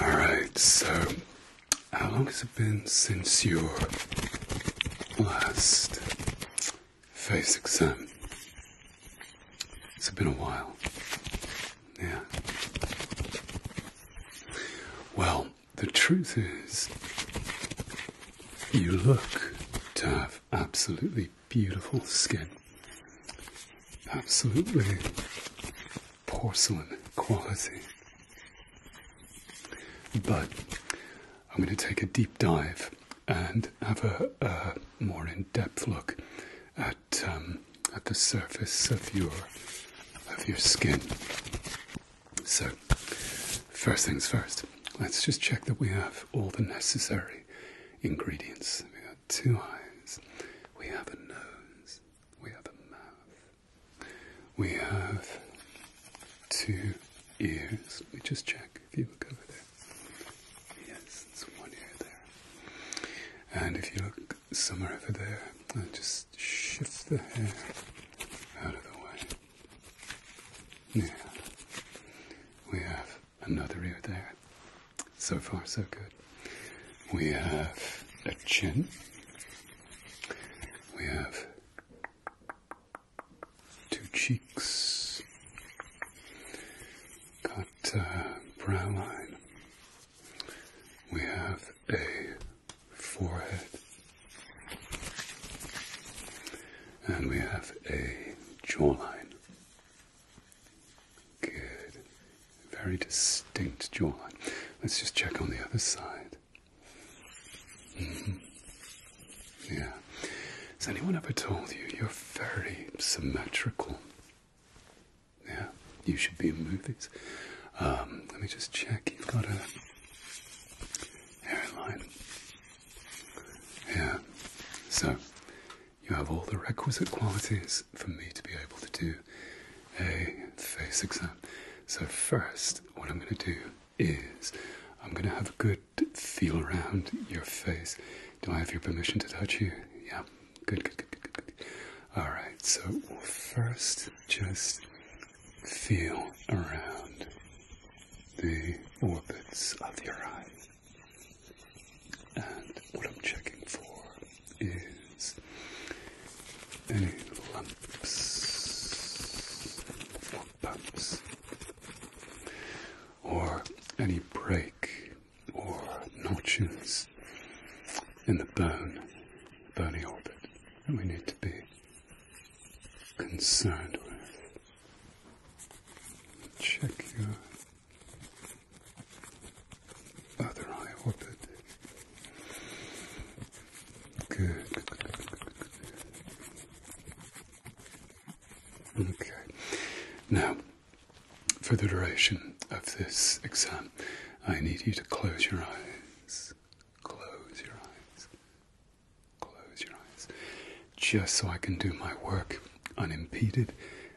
All right, so how long has it been since your last face exam? It's been a while. Yeah. Well, the truth is, you look to have absolutely beautiful skin absolutely porcelain quality. But I'm going to take a deep dive and have a, more in-depth look at um, at the surface of your of your skin. So, first things first. Let's just check that we have all the necessary ingredients two eyes. We have a nose. We have a mouth. We have two ears. Let me just check if you look over there. Yes, it's one ear there. And if you look somewhere over there, I'll just shift the hair out of the way. Yeah. We have another ear there. So far, so good. We have a chin. We have two cheeks. Got a brow line. We have a forehead. And we have a jawline. Good. Very distinct jawline. Let's just check on the other side. Mm-hmm. Yeah. Has anyone ever told you you're very symmetrical? Yeah, you should be in movies. Um, let me just check. You've got a hairline. Yeah. So, you have all the requisite qualities for me to be able to do a face exam. So, first, what I'm going to do is I'm going to have a good feel around your face. Do I have your permission to touch you? Yeah, good, good, good, good, good. All right, so first just feel around the orbits of your eyes. And what I'm checking for is any lumps or bumps or any break or notches in the bone, bony orbit that we need to be concerned with. Check your other eye open. Good, good. Okay. Now, for the duration of this exam, I need you to close your eyes. Close your eyes. Close your eyes. Just so I can do my work unimpeded,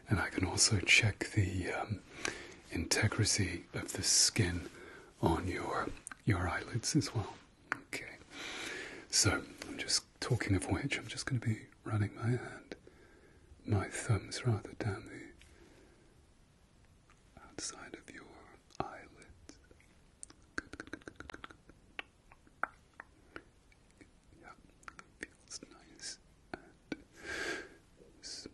and I can also check the um, integrity of the skin on your your eyelids as well. Okay, so I'm just talking of which, I'm just going to be running my hand, my thumbs rather down the outside of your eyelids. Yeah, feels nice and smooth.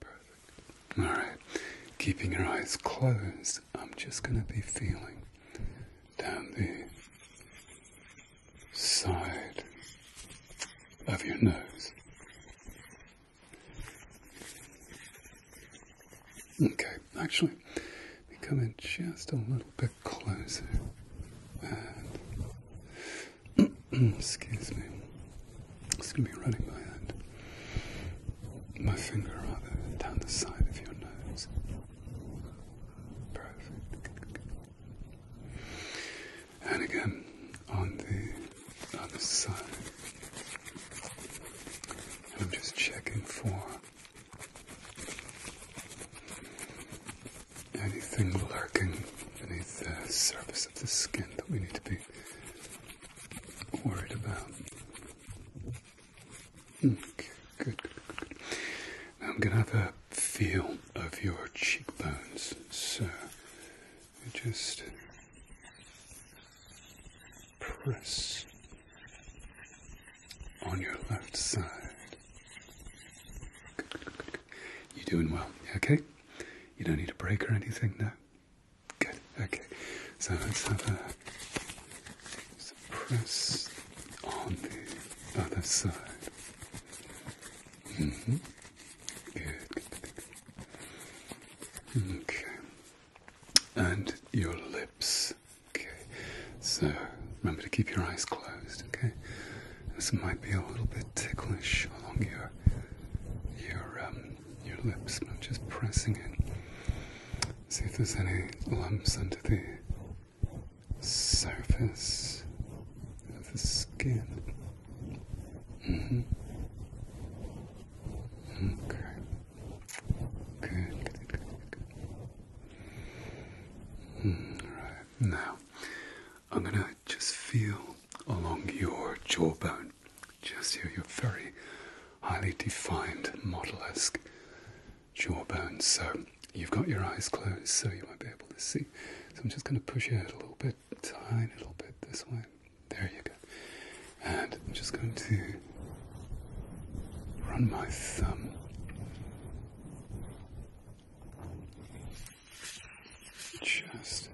Perfect. Alright, keeping your eyes closed, I'm just going to be feeling down the side of your nose. Okay, actually, we come in just a little bit Close. closer. And excuse me. It's gonna be running my hand, my finger rather, down the side of your nose. Perfect. And again on the other side. I'm just checking for anything lurking beneath the surface of the skin that we need to be worried about. good, I'm going to have a feel of your cheekbones, so just press on your left side. You're doing well, okay? You don't need a break or anything, no? Good, okay. So let's have a press on the other side. Mm hmm Good, Okay. And your lips. Okay so remember to keep your eyes closed. Okay, this might be a little bit ticklish along your your um, your lips, I'm just pressing it. See if there's any lumps under the surface of the skin. Mm-hmm. Okay. Good, hmm, right. Now, I'm going to just feel along your jawbone, just here, your very highly defined model esque jawbone. So, you've got your eyes closed, so you won't be able to see. So, I'm just going to push your head a little bit, a little bit this way. There you go. And I'm just going to run my thumb just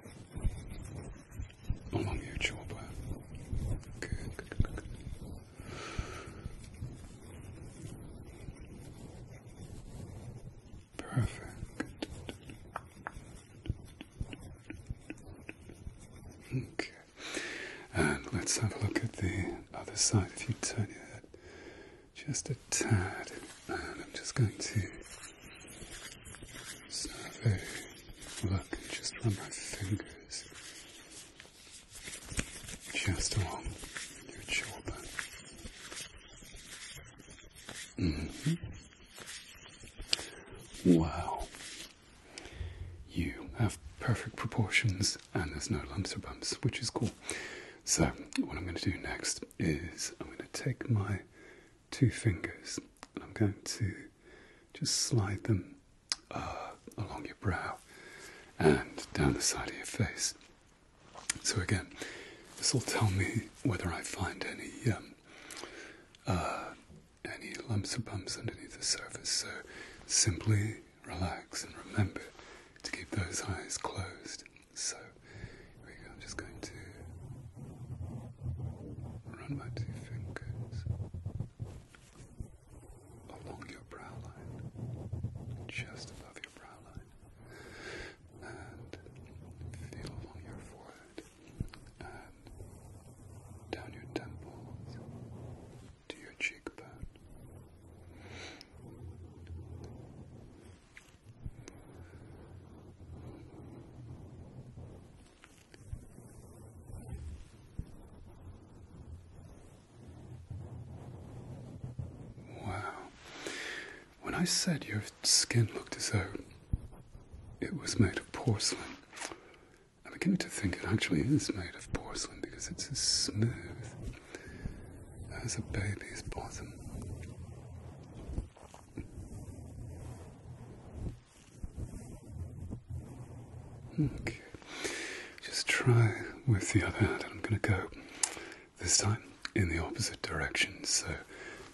along your jawbone. Good, good, good, good, good. Perfect. Okay. And let's have a look at the other side. If you turn your head just a tad, and I'm just going to survey, look, and just run my fingers just along your jawbone. Mm-hmm. Wow, you have perfect proportions, and there's no lumps or bumps, which is cool. So, what I'm going to do next is I'm going to take my two fingers and I'm going to just slide them uh, along your brow and down the side of your face. So, again, this will tell me whether I find any um, uh, any lumps or bumps underneath the surface. So, simply relax, and remember to keep those eyes closed. So, we go. I'm just going to run my two fingers along your brow line, just above your brow line, and feel along your forehead and down your temples to your cheekbone. Wow. When I said your skin looked as though it was made of porcelain, I'm beginning to think it actually is made of porcelain because it's as smooth as a baby's bosom. Okay, just try with the other hand, I'm going to go this time in the opposite direction. So,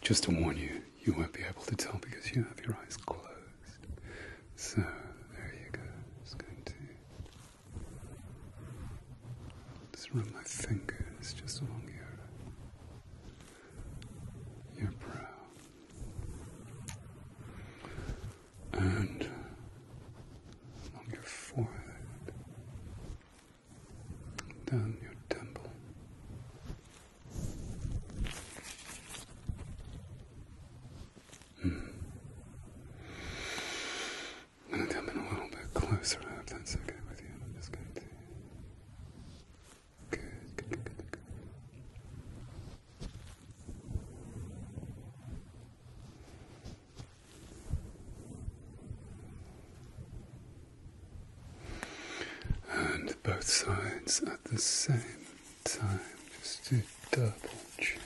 just to warn you, you won't be able to tell because you have your eyes closed. So, there you go. Just going to just run my fingers just along your your brow and along your forehead, down your temple. Hmm. I'm going to come in a little bit closer up. that's okay with you. I'm just going Good, good, good, good, good. And both sides at the same time, just to double check.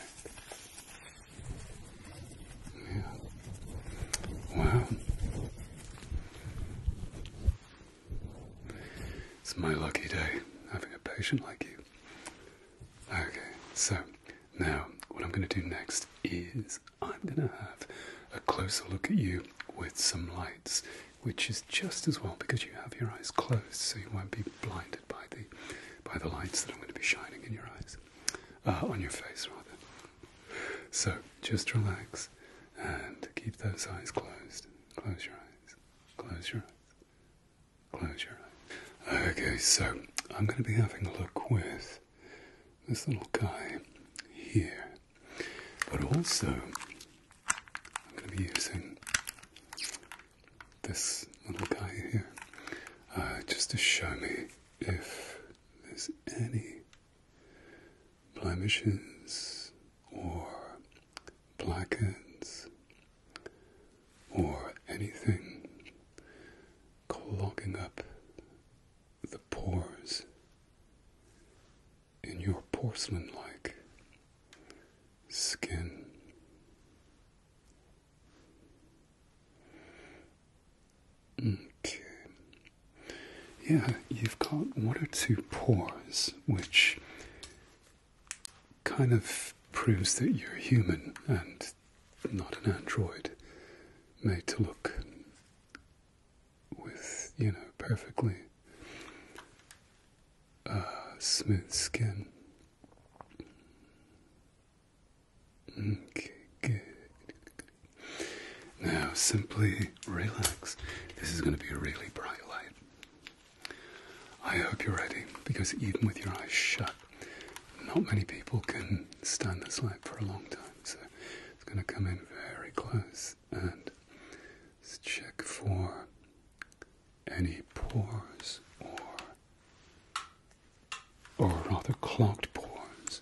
Wow. It's my lucky day having a patient like you. Okay, so now what I'm going to do next is I'm going to have a closer look at you with some lights, which is just as well because you have your eyes closed, so you won't be blinded by the by the lights that I'm going to be shining in your eyes. Uh, on your face rather. So just relax and keep those eyes closed. Close your eyes. Close your eyes. Close your eyes. Okay, so I'm going to be having a look with this little guy here, but also I'm going to be using this little guy here, uh, just to show me if there's any blemishes or blackheads or anything clogging up the pores in your porcelain like skin. Okay. Yeah, you've got one or two pores, which kind of proves that you're human and not an android made to look with, you know, perfectly uh, smooth skin. Okay, good. Now simply relax. This is going to be a really bright light. I hope you're ready because even with your eyes shut, not many people can stand this light for a long time. So it's going to come in very close and let's check for any pores or or rather clogged pores,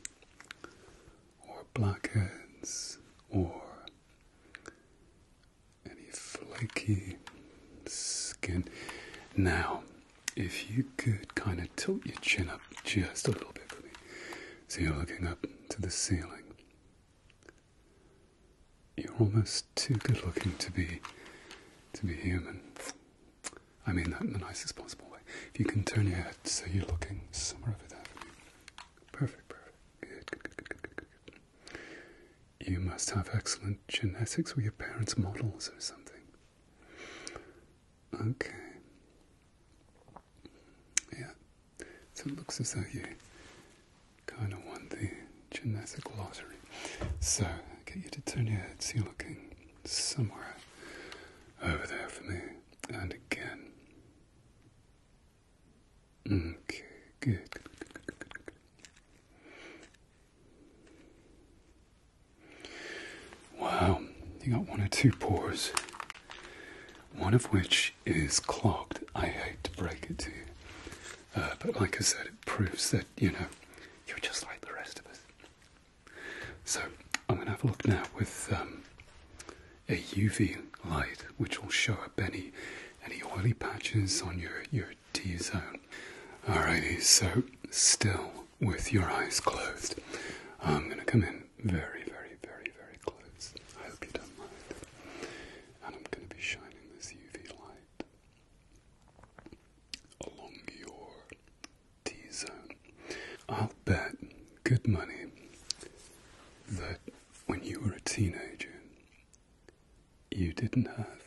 or blackheads, or any flaky skin. Now, if you could kind of tilt your chin up just a little bit for me, so you're looking up to the ceiling. You're almost too good looking to be to be human. I mean that in the nicest possible way. If you can turn your head so you're looking somewhere over there. Perfect, perfect. Good, good, good, good, good, good, You must have excellent genetics. Were your parents models or something? Okay. Yeah. So it looks as though you kind of won the genetic lottery. So, I'll get you to turn your head so you're looking somewhere over there for me. And again. Okay, good. Wow, you got one or two pores, one of which is clogged. I hate to break it to you, uh, but like I said, it proves that you know you're just like the rest of us. So I'm going to have a look now with um, a UV light, which will show up any any oily patches on your your T zone. Alrighty, so still with your eyes closed, I'm going to come in very, very, very, very close. I hope you don't mind. And I'm going to be shining this UV light along your T zone. I'll bet good money that when you were a teenager, you didn't have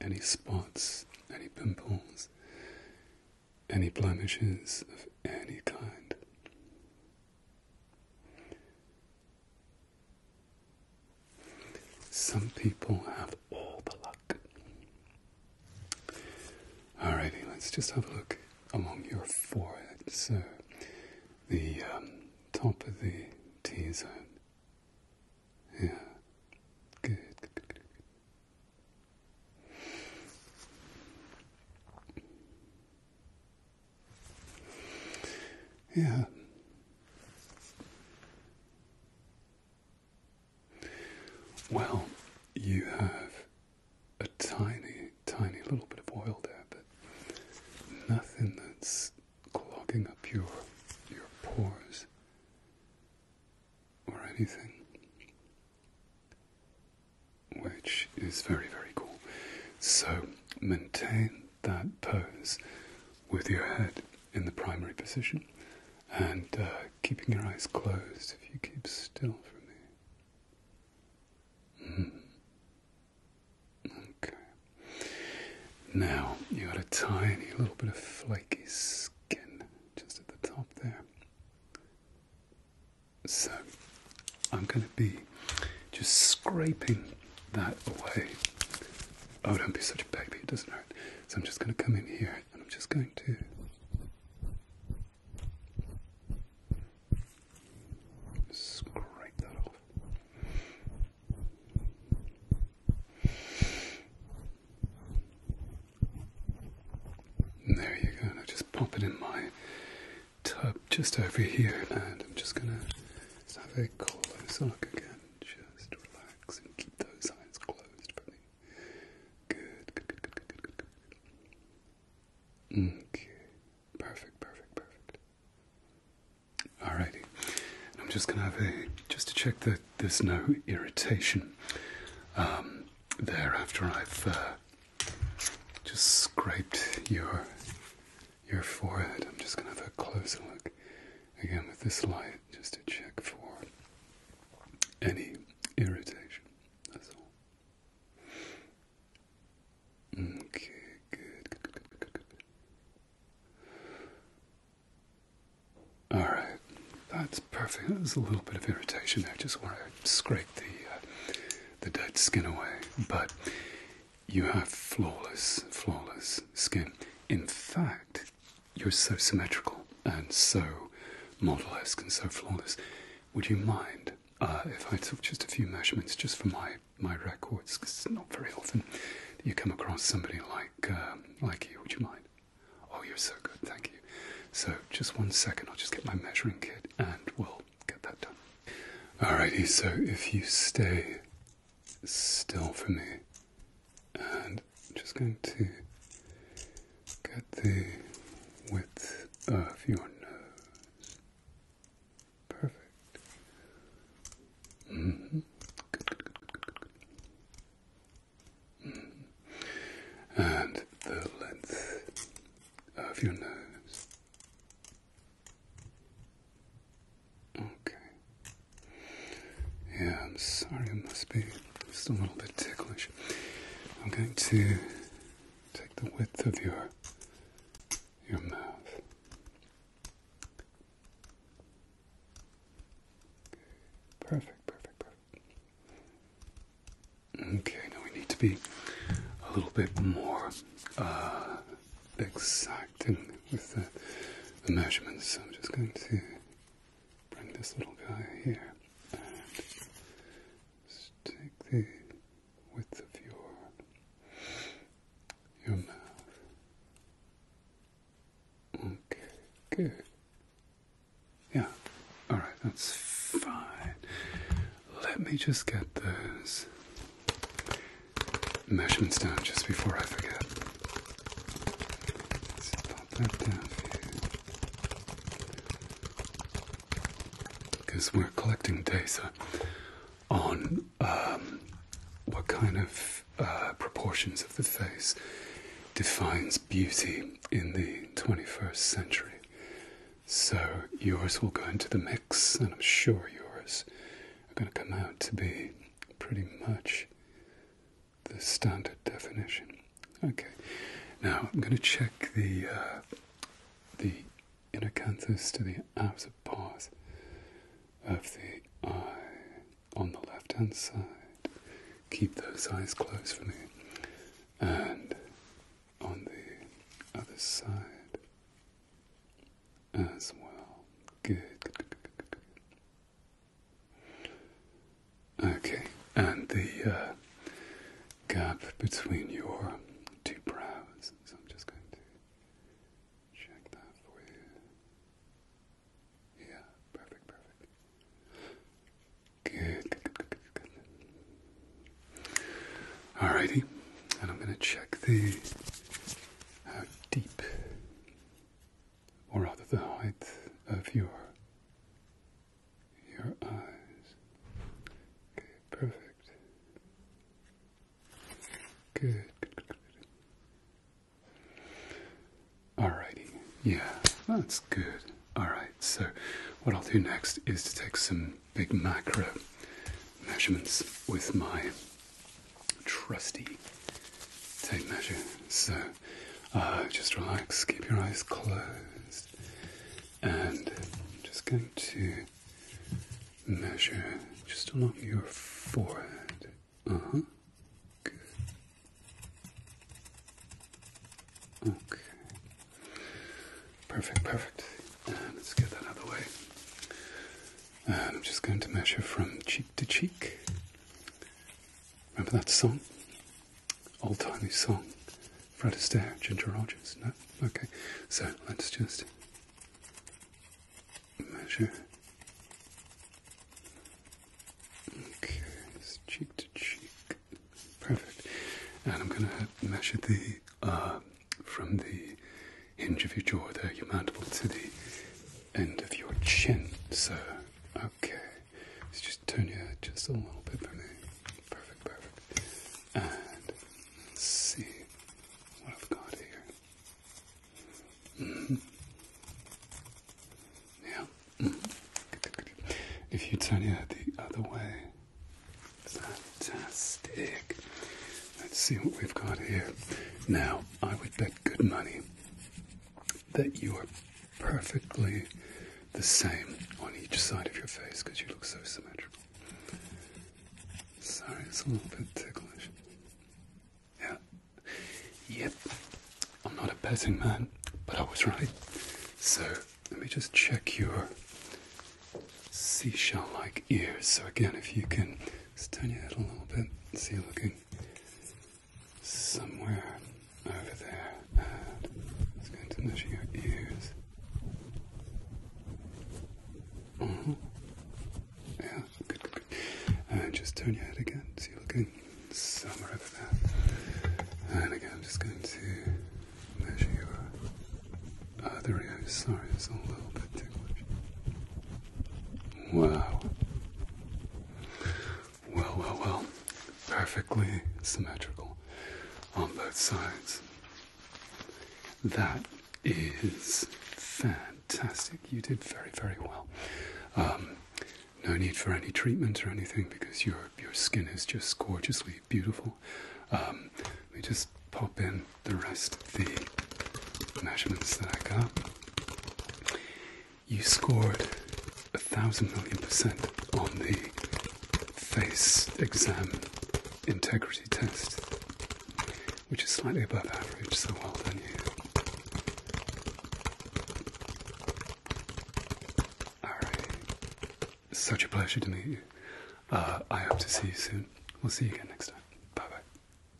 any spots, any pimples, any blemishes of any kind. Some people have all the luck. Alrighty, let's just have a look along your forehead. So, the um, top of the T zone. Yeah, Yeah. Well, you have a tiny, tiny little bit of oil there, but nothing that's clogging up your your pores or anything. Which is very, very cool. So maintain that pose with your head in the primary position and uh, keeping your eyes closed if you keep still for me. Hmm. Okay. Now you got a tiny little bit of flaky skin just at the top there. So I'm going to be just scraping that away. Oh, don't be such a baby, it doesn't hurt. So I'm just going to come in here and I'm just going to. Scrape that off. there you go. And I just pop it in my tub just over here, and I'm just gonna have a close look again. Just relax and keep those eyes closed for me. Good, good, good, good, good, good, good, good. Okay, perfect, perfect, perfect. Alrighty, and I'm just gonna have a just to check that there's no irritation um, there after I've uh, just scraped your your forehead. I'm just gonna have a closer look again with this light just to check for any irritation. That's all. Okay, good, good, good, good, good, good. Alright, that's perfect. There's a little bit of irritation there, just want to scrape the, uh, the dead skin away. But you have flawless, flawless skin. In fact, you're so symmetrical and so model-esque and so flawless. Would you mind uh, if I took just a few measurements just for my my records? Because it's not very often that you come across somebody like um, like you. Would you mind? Oh, you're so good. Thank you. So just one second. I'll just get my measuring kit and we'll get that done. Alrighty. So if you stay still for me. And I'm just going to get the width of your nose. Perfect. -hmm. And the length of your nose. Okay. Yeah, I'm sorry, I must be just a little bit ticklish. I'm going to take the width of your your mouth. Perfect, perfect, perfect. Okay, now we need to be a little bit more uh, exacting with the measurements. So I'm just going to bring this little guy here and stick the width of your your mouth. Okay, good. Yeah, all right, that's fine. Let me just get those measurements down just before I forget let pop that down here. Because we're collecting data on um, what kind of uh, proportions of the face defines beauty in the 21st century. So yours will go into the mix, and I'm sure yours are going to come out to be pretty much the standard definition. Okay, now I'm going to check the uh, the inacanthus to the outer part of the eye on the left hand side. Keep those eyes closed for me, and on the other side as well. good. Okay, and the uh, gap between your two brows. So I'm just going to check that for you. Yeah, perfect, perfect. Good, good, good, Alrighty, and I'm going to check the how deep or rather the height of your your eyes. Okay, perfect. Good, good, good, Alrighty, yeah, that's good. Alright, so what I'll do next is to take some big macro measurements with my trusty tape measure. So uh, just relax, keep your eyes closed, and I'm just going to measure just along your forehead. Uh huh. Good. Okay. Perfect, perfect. let's get that out of the way. I'm just going to measure from cheek to cheek. Remember that song? Old timey song. Fred Astaire, Ginger Rogers. No? Okay. So let's just measure. Okay, cheek to cheek. Perfect. And I'm going to measure the, uh, from the hinge of your jaw there, your mandible to the end of your chin, sir. Okay. let's just turn your head just a little bit for me. Perfect, perfect. And see what I've got here. Mm-hmm. Yeah. Mm-hmm. If you turn your head the other way, fantastic. Let's see what we've got here. Now, I would bet good money that you are perfectly the same on each side of your face because you look so symmetrical. Sorry, it's a little bit ticklish. Yeah. Yep. I'm not a betting man, but I was right. So let me just check your seashell like ears. So, again, if you can just turn your head a little bit. See you looking somewhere over there. I'm just going to measure your ears. Uh Yeah, good, good, good. just turn your head again. See looking somewhere over there. And again, I'm just going to measure your other ear. Sorry, it's a little bit too Wow. Well, well, well. Perfectly symmetrical on both sides. That is fantastic. You did very, very well. Um, no need for any treatment or anything because your your skin is just gorgeously beautiful. Um, let me just pop in the rest of the measurements that I got. You scored a thousand million percent on the face exam integrity test, which is slightly above average, so well done you. Alright, such a pleasure to meet you. Uh, I hope to see you soon. We'll see you again next time. Bye bye.